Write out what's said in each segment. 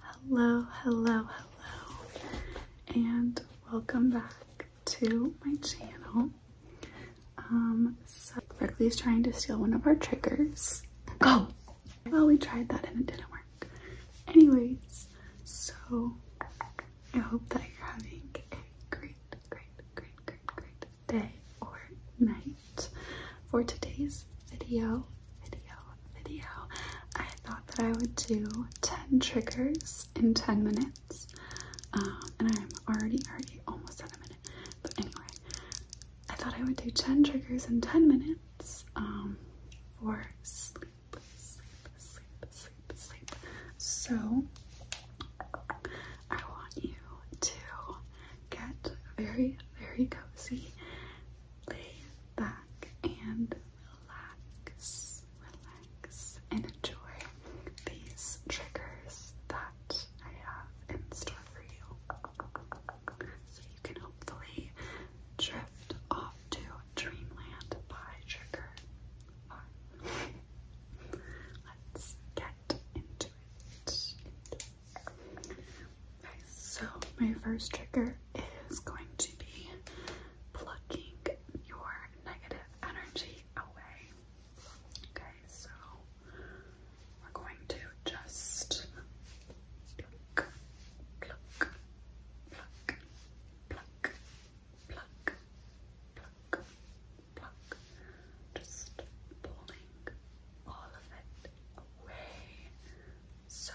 Hello, hello, hello, and welcome back to my channel. Um, so Berkeley's trying to steal one of our triggers. Go! Oh. well, we tried that and it didn't work. Anyways, so I hope that you're having a great, great, great, great, great day or night. For today's video, video, video, I thought that I would do 10 triggers in 10 minutes. Um, and I'm already, already almost at a minute. But anyway, I thought I would do 10 triggers in 10 minutes um, for sleep, sleep, sleep, sleep, sleep. So I want you to get very, very cozy back and relax, relax, and enjoy these triggers that I have in store for you. So you can hopefully drift off to dreamland by trigger. Let's get into it so my first trigger is going to be plucking your negative energy away. Okay, so we're going to just pluck, pluck, pluck, pluck, pluck, pluck, pluck, just pulling all of it away so,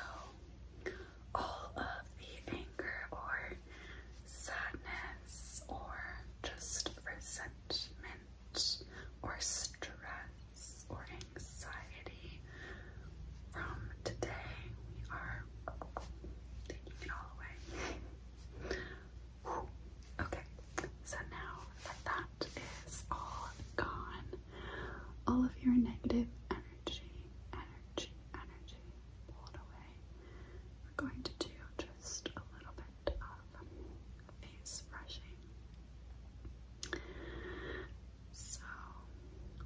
all of the anger or sadness or just resentment or stress or anxiety from today, we are taking it all away. Okay, so now that that is all gone. All of your negative energy, energy, energy pulled away. We're going to do just a little bit of face brushing. So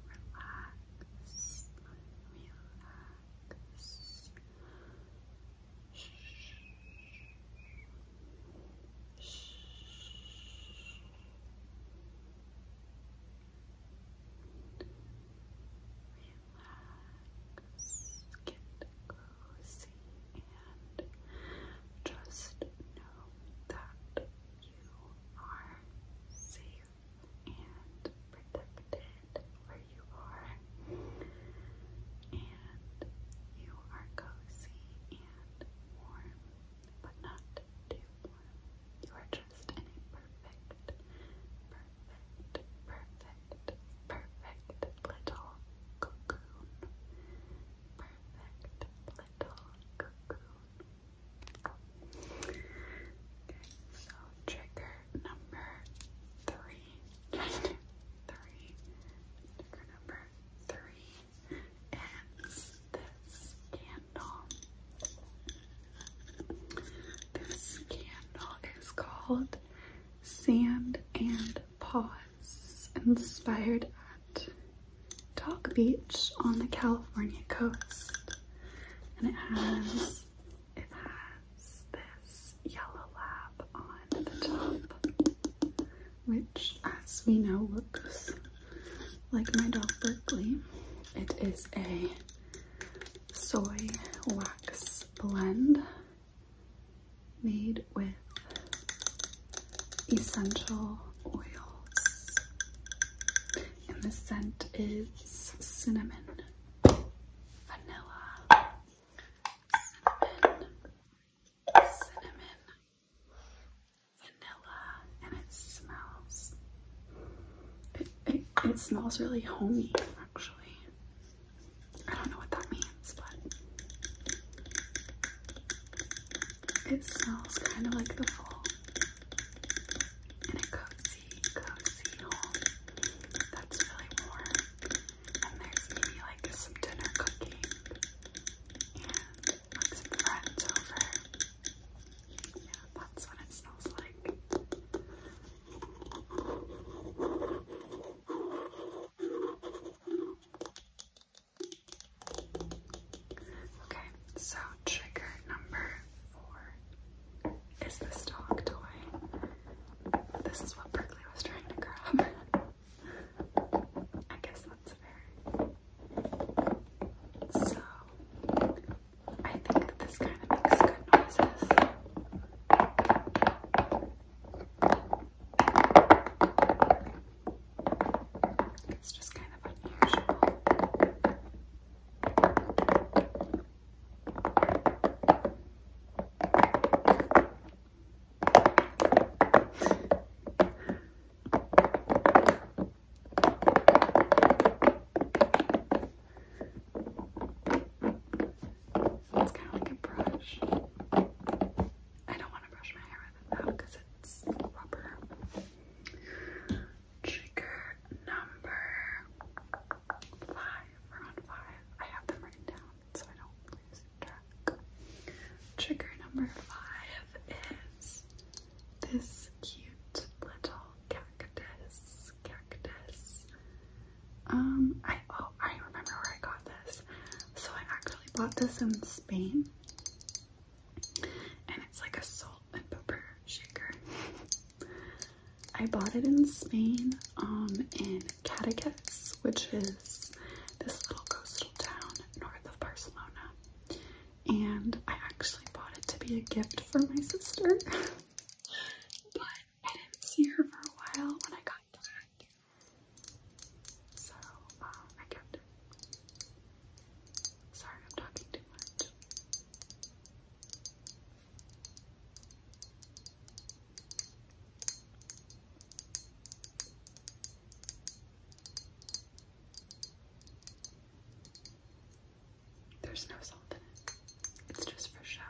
relax, relax. Shh. Relax, get cozy, and just know that you are safe and protected where you are, and you are cozy and warm but not too You are just in a perfect, perfect, perfect, perfect little cocoon. Perfect little cocoon. Okay, so trigger number three. three. Trigger number three is this candle. This candle is called Sand and Paws, inspired at Dog Beach on the California coast. And it has it has this yellow lab which, as we know, looks like my dog Berkeley. It is a soy wax blend made with essential oils, and the scent is cinnamon, vanilla, cinnamon, cinnamon, vanilla, and it smells, it, smells really homey actually. I don't know what that means, but it smells kind of like the fall in a cozy, cozy that's really warm and there's maybe like some dinner cooking and some friends over. Yeah, that's what it smells like. Okay, so trigger number four is this dog toy. This is what Berkeley was trying to grab. I guess that's fair. So, I think that this kind of makes good noises. It's just kind of unusual. It's kind of like a brush. I don't want to brush my hair with it now because it's rubber. Trigger number five, round five. I have them written down so I don't lose track. Trigger number five is this cute little cactus. Cactus. Um, I oh I remember where I got this. So I actually bought this in Spain. And it's like a salt and pepper shaker. I bought it in Spain, um, in Cadaqués, which is this little coastal town north of Barcelona. And I actually bought it to be a gift for my sister, but I didn't see her for a while when I got back, so um, I kept it. Sorry, I'm talking too much. There's no salt in it. It's just for show.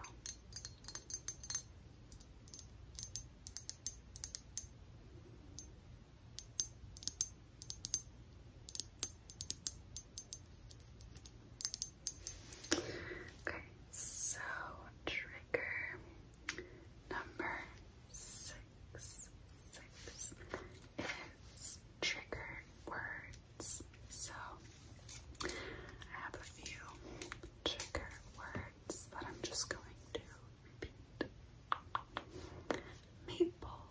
Okay, so trigger number six, six trigger words. So I have a few trigger words that I'm just going to repeat. Maple,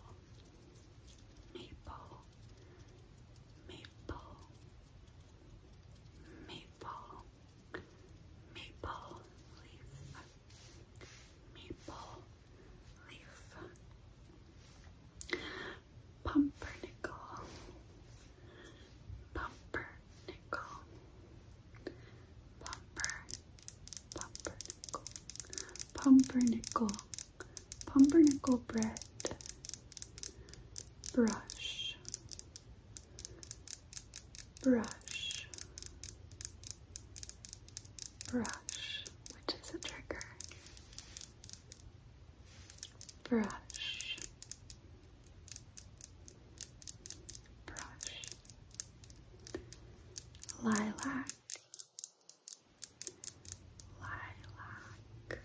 maple, maple, maple, maple leaf, maple leaf, pumpernickel, pumpernickel, pumper, pumpernickel, pumpernickel pumpernickel bread brush brush brush which is a trigger brush brush lilac lilac,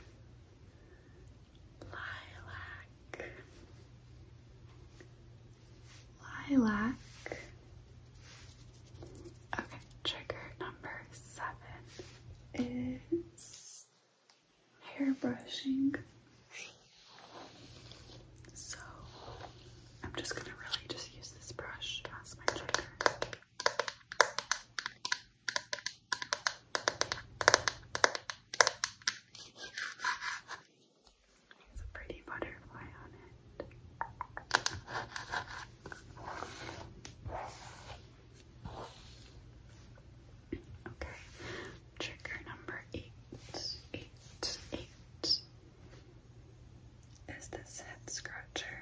lilac, lilac. Okay, trigger number seven is hair brushing. So I'm just gonna really just use this brush as my trigger. There's a pretty butterfly on it. Okay, trigger number eight, eight, eight. Is this head scratcher?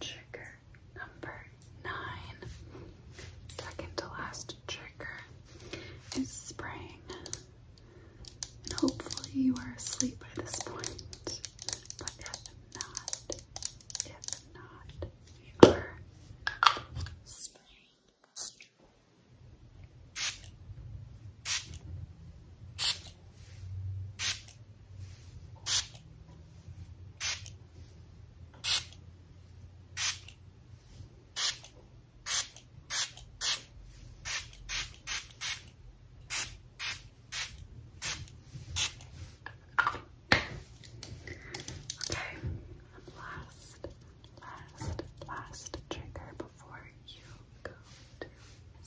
Trigger number nine, second to last trigger is spraying. And hopefully you are asleep by this point. But if not, if not, we are spraying. Okay, last, last, last trigger before you go to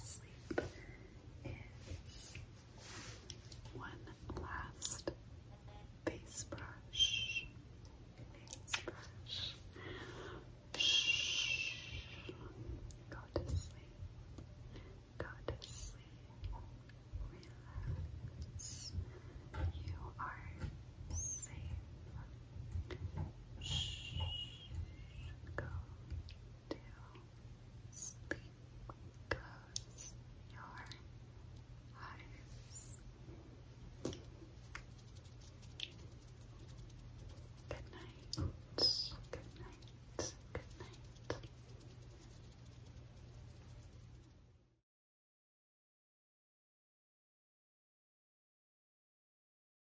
sleep is one last face brush. Face brush. Shh. Go to sleep. Go to sleep. Relax. You are safe. Shh. Go to sleep. Close your eyes. Good night. Good night. Good night.